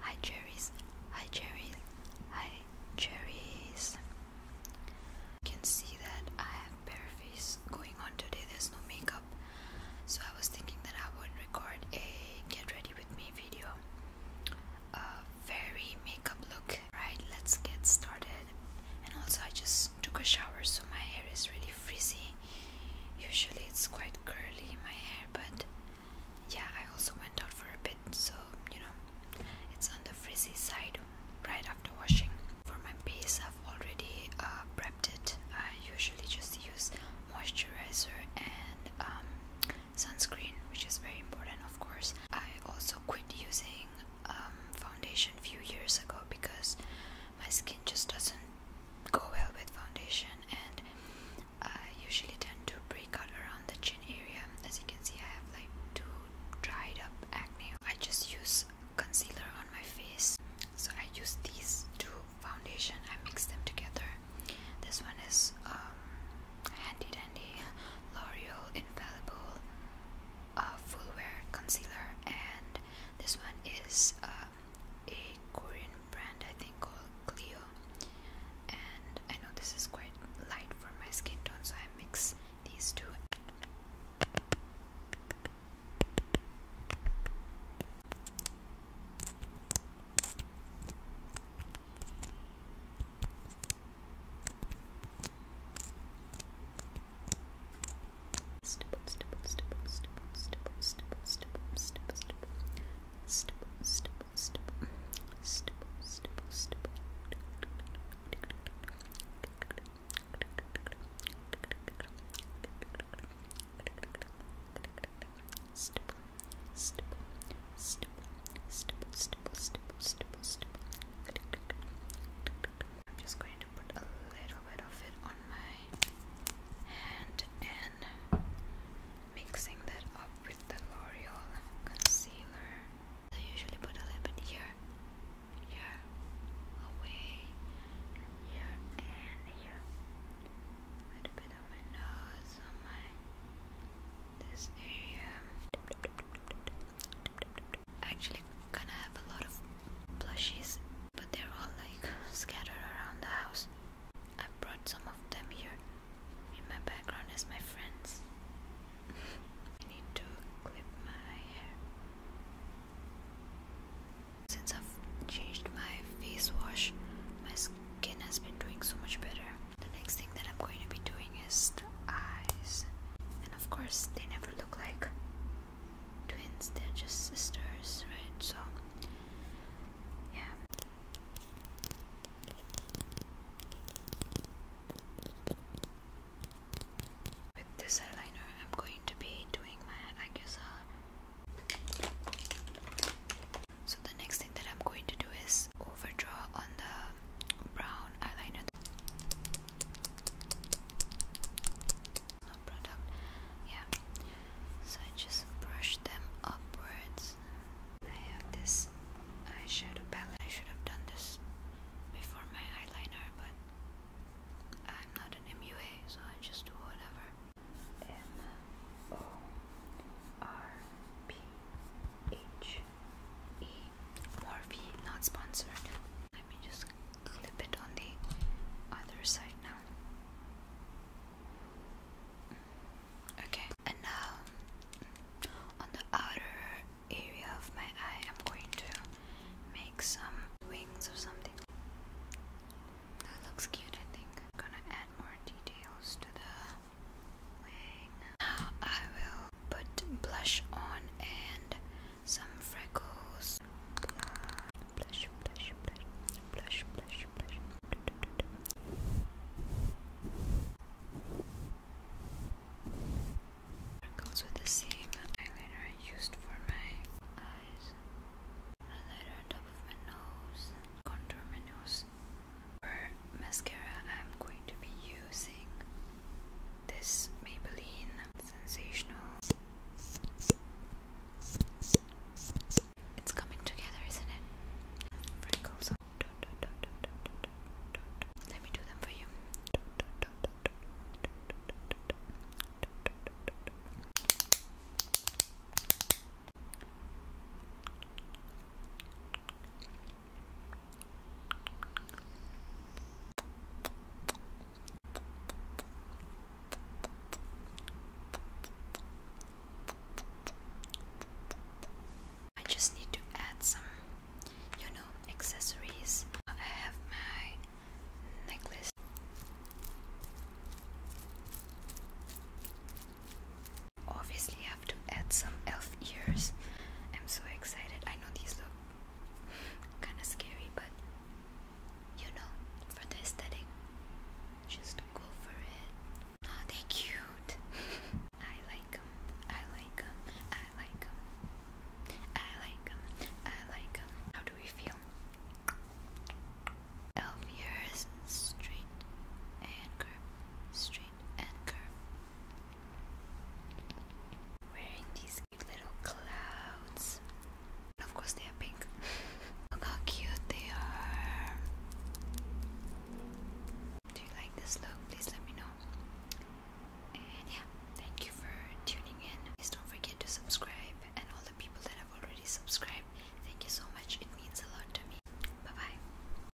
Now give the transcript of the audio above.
Hi cherries, hi cherries, hi cherries. You can see that I have bare face going on today. There's no makeup, so I was thinking that I would record a get ready with me video, a very makeup look. Right, let's get started. And also, I just took a shower, so my hair is really frizzy. Usually, it's quite curly my hair, but yeah, I also went out for a bit, so you know, it's on the frizzy side right after washing. For my face, I've already uh, prepped it. I usually just use moisturizer and um, sunscreen, which is very important, of course. I also quit using um, foundation a few years ago because my skin just doesn't go well with foundation, and I usually tend to break out around the chin area. As you can see, I have like two dried up acne. I just use concealer on my face. So I use these two foundation. I mix them together. This one is um, Handy Dandy L'Oreal Infallible uh, Full Wear Concealer, and this one is uh, a Korean brand I think called Clio and I know this is quite light for my skin tone so I mix these two I'm just going to put a little bit of it on my and mixing that up with the L'Oreal concealer. I usually put a little bit here, here, away, here, and here. A little bit on my nose, on my this area. Actually, gonna have a lot of blushes but they're all like scattered around the house. i brought some of them here. In my background is my friends. I need to clip my hair. Since I've changed my face wash, my skin has been doing so much better. The next thing that I'm going to be doing is the eyes. And of course, they never look like twins, they're just sisters, right? So, yeah. With this eyeliner, I'm going to be doing my Agusa. So, the next thing that I'm going to do is overdraw on the brown eyeliner no product yeah so I just brush them upwards I have this eyeshadow palette I should have done this before my eyeliner but I'm not an MUA so I just do whatever M O R P H E Morphe not sponsored let me just clip it on the other side now. Mm. Okay, and now on the outer area of my eye, I'm going to make some wings or something. That looks cute, I think. I'm gonna add more details to the wing. Now I will put blush on and some freckles. Freckles with the same eyeliner I used for my eyes. Highlighter on top of my nose. Contour my nose. For mascara, I'm going to be using this Maybelline Sensational. It's coming together, isn't it? Freckles. Let me do them for you. I just need to add some, you know, accessories. I have my necklace. Obviously, have to add some elf ears. I'm so excited. I know these look kind of scary, but you know, for the aesthetic, just go for it. Oh, they cute. I like them. I like them. I like them. I like them. I like them. How do we feel? Elf ears, straight and curve, straight and curve, Wearing these cute little clouds. Of course, they are pink. Look how cute they are. Do you like this look? Please let me know. And yeah, thank you for tuning in. Please don't forget to subscribe. And all the people that have already subscribed, thank you so much. It means a lot to me. Bye bye.